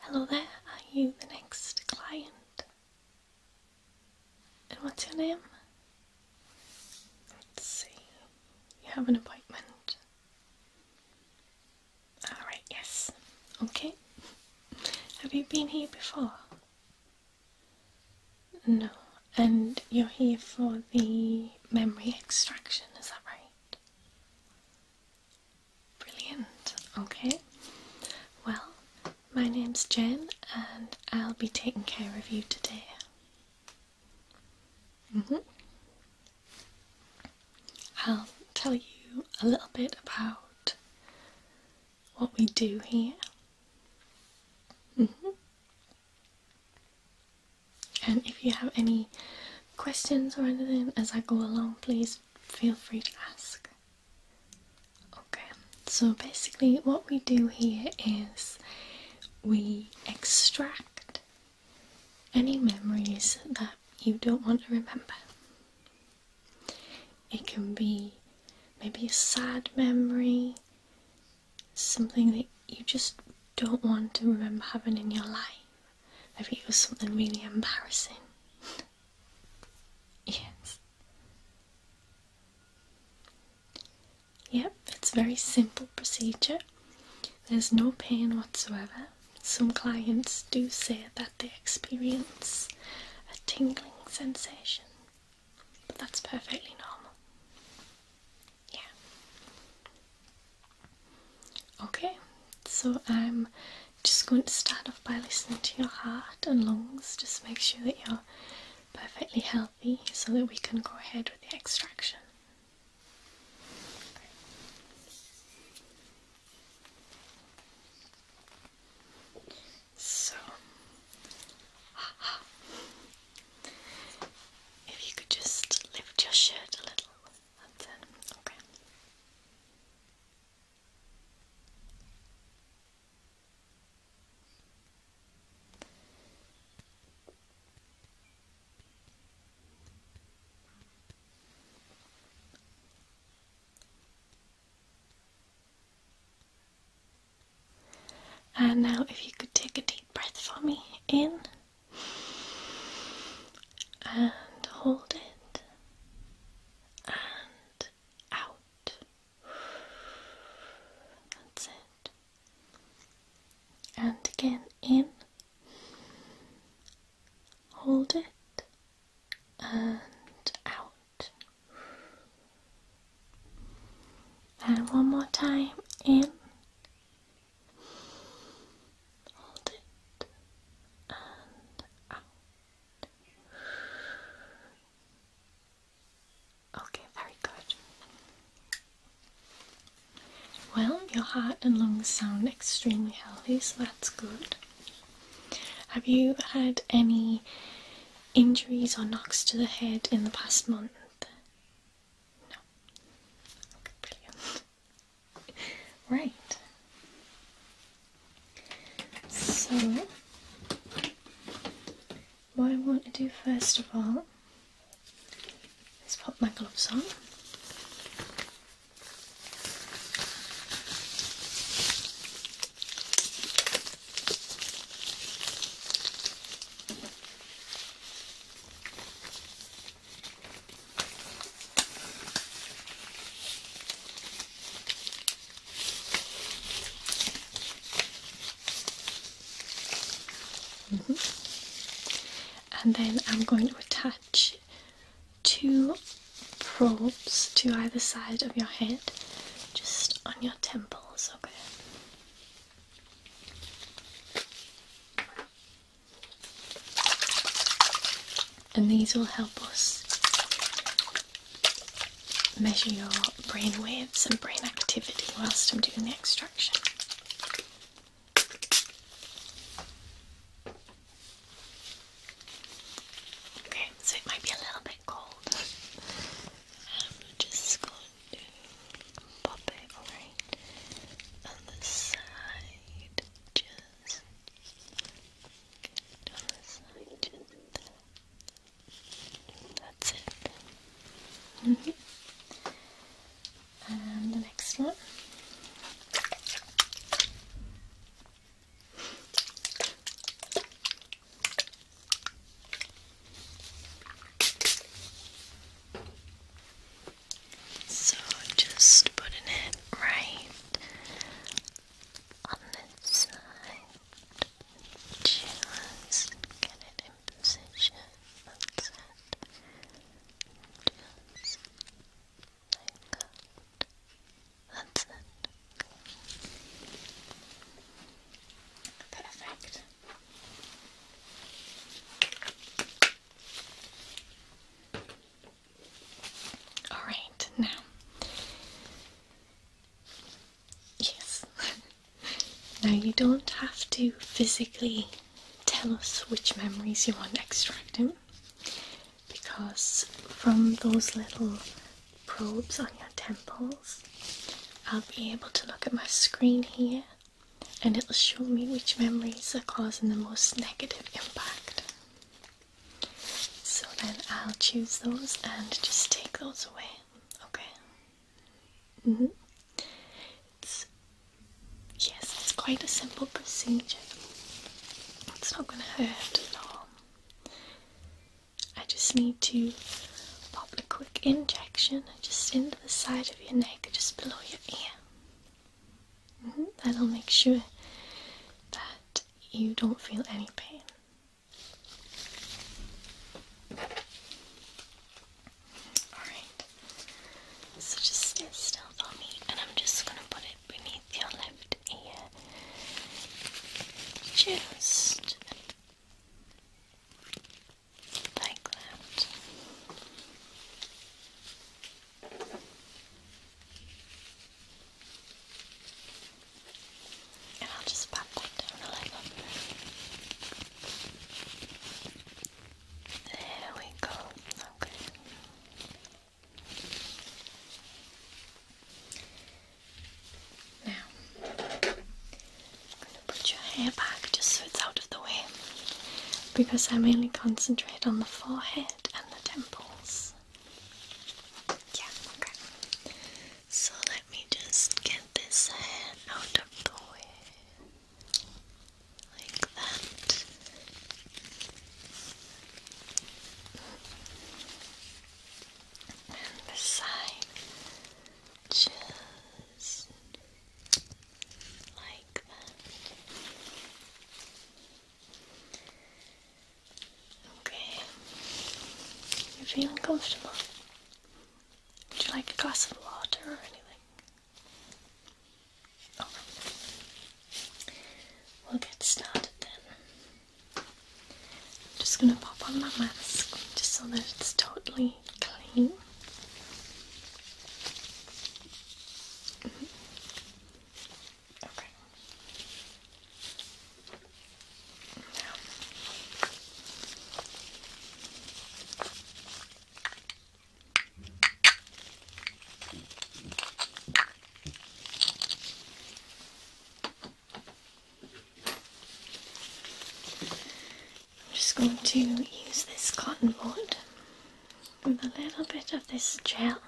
Hello there, are you the next client? And what's your name? Let's see, you have an appointment. Alright, yes. Okay. Have you been here before? No, and you're here for the memory extraction, is that right? Brilliant, okay. Well, my name's Jen, and I'll be taking care of you today. Mm-hmm. I'll tell you a little bit about what we do here. Mm-hmm. And if you have any questions or anything as I go along, please feel free to ask. Okay, so basically, what we do here is we extract any memories that you don't want to remember. It can be maybe a sad memory, something that you just don't want to remember having in your life. Maybe it was something really embarrassing. yes. Yep, it's a very simple procedure. There's no pain whatsoever. Some clients do say that they experience a tingling sensation but that's perfectly normal. Yeah. Okay, so I'm just going to start off by listening to your heart and lungs. Just make sure that you're perfectly healthy so that we can go ahead with the extraction. So if you could just lift your shirt a little, Okay. And now, if you could take a deep breath for me in and hold it and out. That's it. And again, in, hold it and out. And one more time in. Hold it Okay, very good. Well, your heart and lungs sound extremely healthy, so that's good. Have you had any injuries or knocks to the head in the past month? right. So, what I want to do first of all is pop my gloves on. Mm-hmm. And then I'm going to attach two probes to either side of your head, just on your temples, okay? And these will help us measure your brain waves and brain activity whilst I'm doing the extraction. Okay, so it might be a little bit cold. I'm just going to pop it on the side. Just on the side. Just That's it. Mm-hmm. And the next one. So just putting it right on this side. Just get it in position. Perfect. All right, now. Yes. now you don't have to physically tell us which memories you want extracting because from those little probes on your temples. I'll be able to look at my screen here and it'll show me which memories are causing the most negative impact. So then I'll choose those and just take those away, okay? -hmm. yes, it's quite a simple procedure. It's not going to hurt at all. I just need to pop a quick injection just into the side of your neck, just below your ear. Mm -hmm. That'll make sure that you don't feel any pain. Alright, so just stay still for me, and I'm just gonna put it beneath your left ear. Just like that. And I'll just pop that down a little. There we go. Okay. Now, I'm going to put your hair back just so it's out of the way because I am mainly concentrate on the forehead and the temples. Yeah, okay. So let me just get this hair out of the way. Like that. And this side. Just like that. Okay. You feeling comfortable? Would you like a glass of water or anything? Oh. We'll get started then. I'm just going to pop on my mask just so that it's totally clean. Okay. Now. I'm just going to use this cotton wood with a little bit of this gel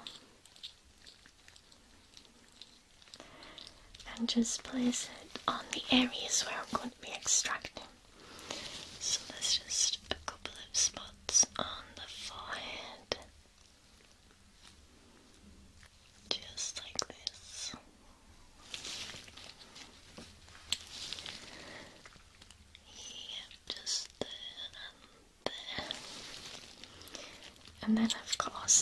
and just place it on the areas where I'm going to be extracting. So there's just a couple of spots on the forehead just like this. Yep, just there and then I've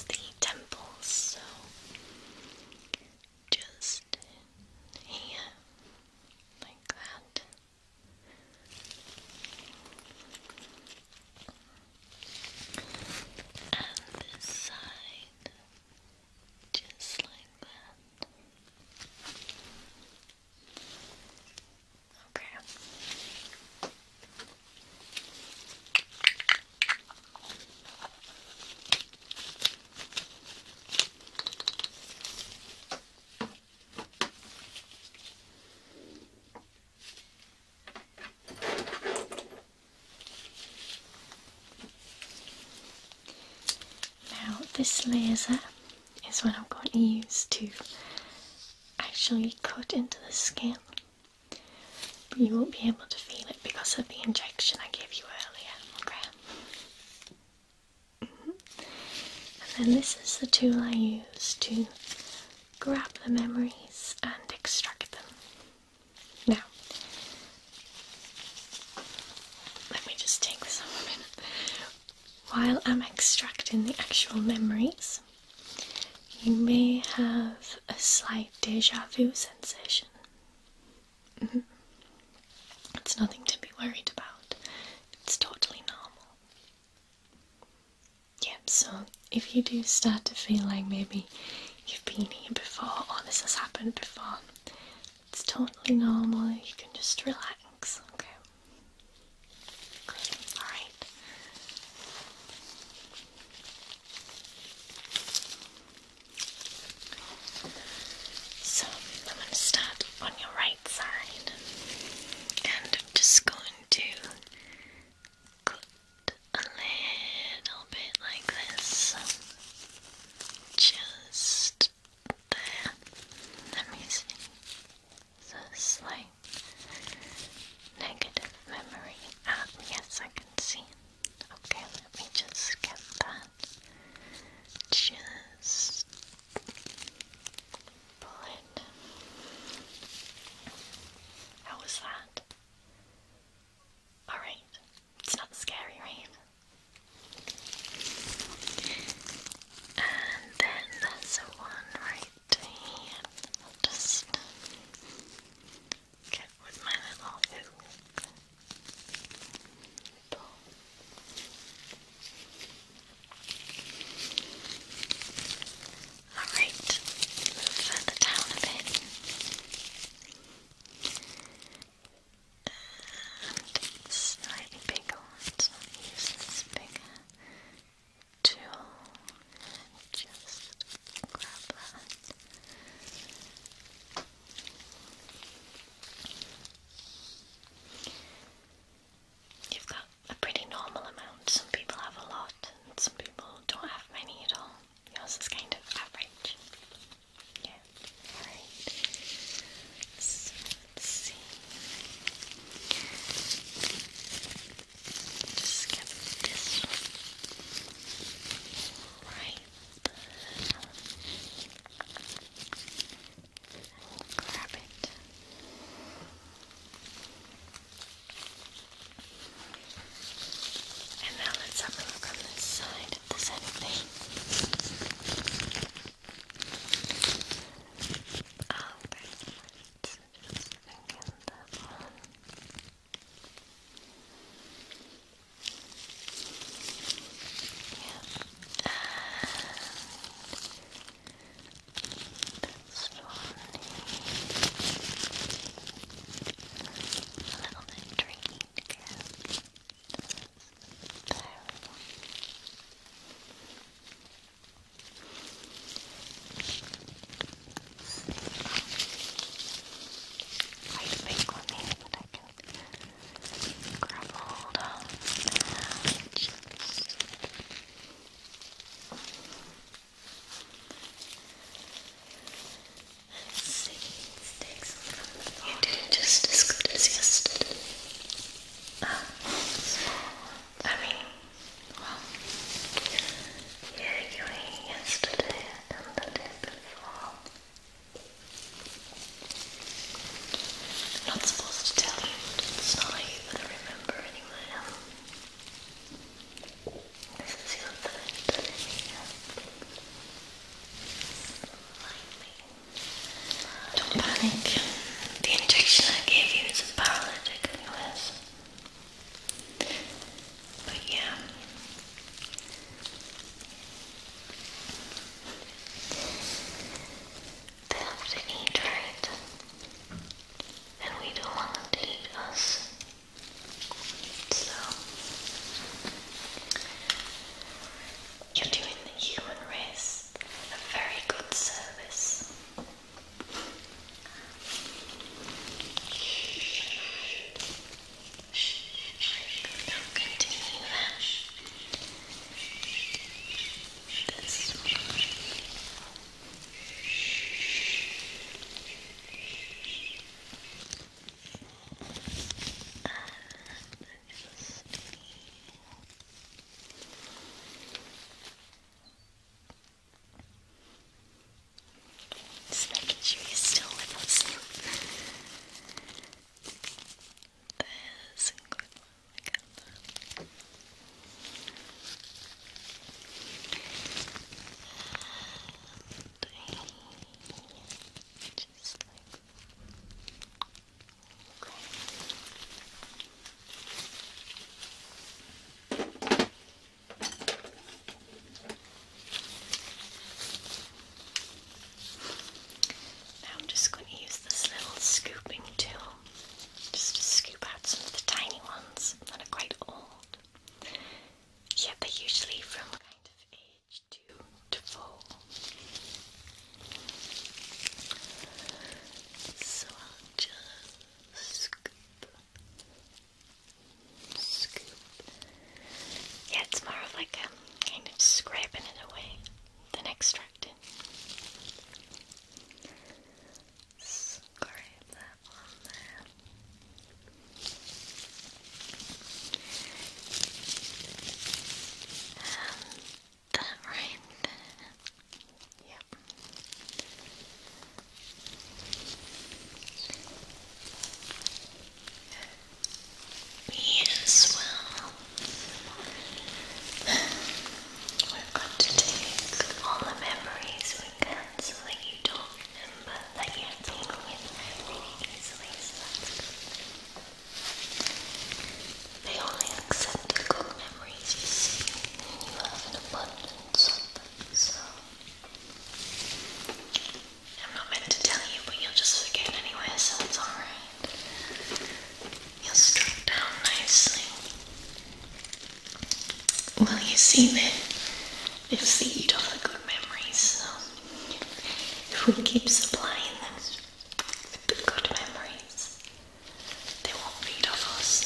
the temples, so just here, like that. And this side. Just like that. Okay. Now this laser is what I'm going to use to actually cut into the skin. you won't be able to feel it because of the injection I gave you earlier, okay? Mm-hmm. And then this is the tool I use to grab the memories and extract them. Now, let me just take this off While I'm extracting the actual memories, you may have a slight deja vu sensation. Mm-hmm. It's nothing to be worried about, it's totally normal. Yep, so if you do start to feel like maybe you've been here before or this has happened before, it's totally normal. You can just relax, okay? All right. So I'm going to start on your right side, and just going to a little bit like this. Just there. Let me see. So slight negative memory. Ah, yes, I can see. Okay, let me just get that. Just pull it. How was that? Alright, it's not scary, right? And then there's one right here. I'll just get with my little hook. Alright, further down a bit. slightly bigger ones. use this bigger tool just grab that. You've got a pretty normal amount. Some people have a lot, and some people don't have many at all. Yours is kind of average. Yeah. Alright. let's see. Just this Right. Grab it. And now let's have a look on this side if there's anything. Oh, very much. Just thinking that one. Yeah. And this one. Here a little bit tricky to get there we go quite a big one here that I can grab hold of and just... There we go. You did just as good as yesterday. Ah, I mean, well, yeah, you ate yesterday and the day before. am not supposed to tell you, but it's not how you remember anyway. Don't panic. The injection I gave you is a paralytic, anyways. But yeah. They have to eat right. And we don't want them to eat us. So, you're doing the human race a very good service. Don't continue This just making sure you still with us. There's okay. Now I'm just going to use this little scooping tool just to scoop out some of the tiny ones that are quite old. Yeah, they usually from kind of age two to four. So I'll just scoop, scoop. Yeah, it's more of like um, kind of scraping it away than extracting. Scrape that right Yep. Me as well. We've got to take all the memories we can so that you don't but I can't tangle it easily, They only accept good memories you see, and you have an abundance of them, so... I'm not meant to tell you, but you'll just forget anyway, so it's alright. You'll strip down nicely. Well, you see, they they've off the good memories, so if we keep supplying them with the good memories, they won't feed off us.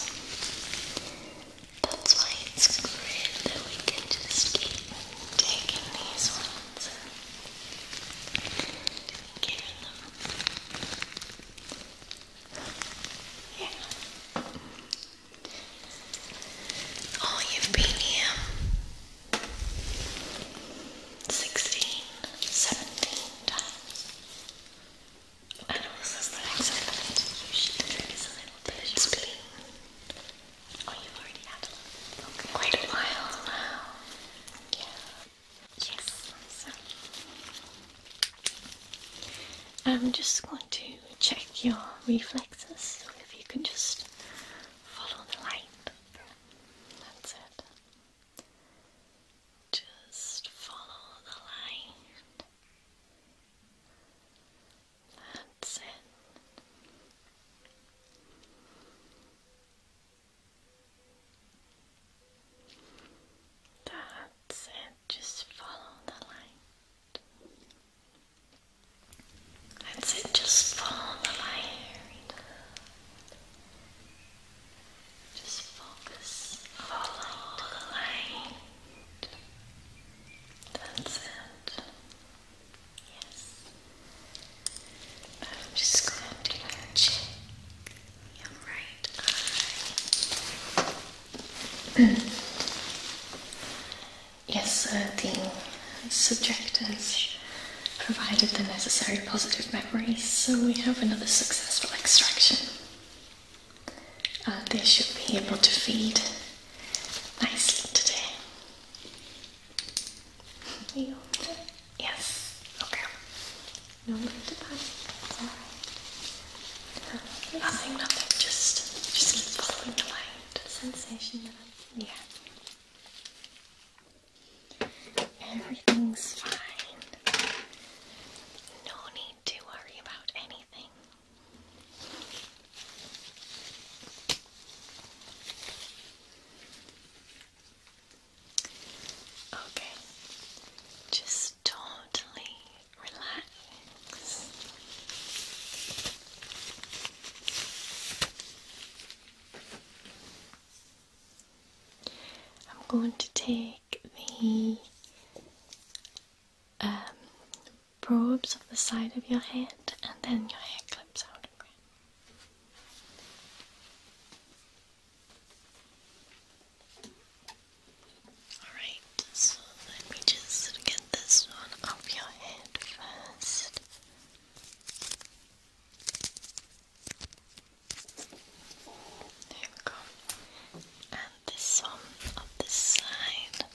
That's why it's great that we can just keep taking these ones and giving them. Yeah. Oh, you've been here 16, times. And also the next you should drink is a little bit spleen. Oh, you've already had Quite a while now. Yeah. Yes. I'm just going to check your reflexes, so if you can just follow the light. That's it. Just follow the light. That's it. That's it. Just follow the line. That's it, just follow the light. Just focus follow the light. That's it. Yes. I'm just going to check your right eye yes, the subject has provided the necessary positive memories, so we have another successful extraction. Uh, they should be able to feed nicely today. yes, okay. No need to panic, Nothing, nothing. Just, just keep following the light. Sensation. Yeah. Everything's fine. No need to worry about anything. Okay. Just totally relax. I'm going to take the um, probes of the side of your head and then your hair clips out. again. Alright, so let me just get this one off your head first. There we go. And this one on this side.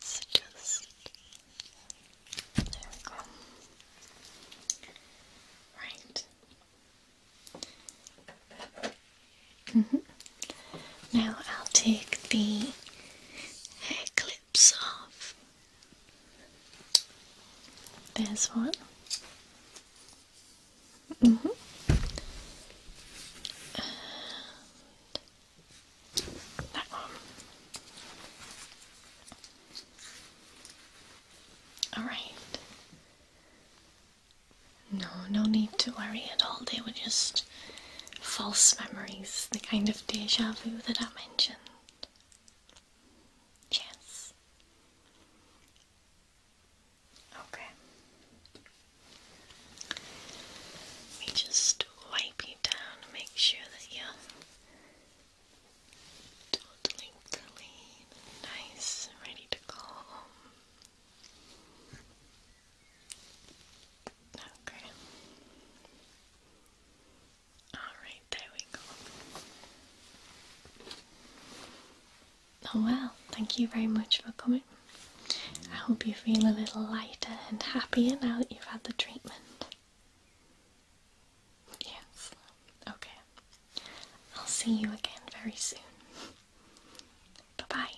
So just there we go. Right. Mm-hmm. Now I'll take the hair clips off. There's one. Mm-hmm. that one. All right. No, no need to worry at all. They were just false memories, the kind of deja vu that I mentioned. Yes. Okay. Let me just wipe you down, make sure that you're totally nice, ready to go. Okay. Alright, there we go. Oh well, thank you very much for coming. I hope you feel a little lighter and happier now that you've had the treatment. Yes. Okay. I'll see you again very soon. Bye bye.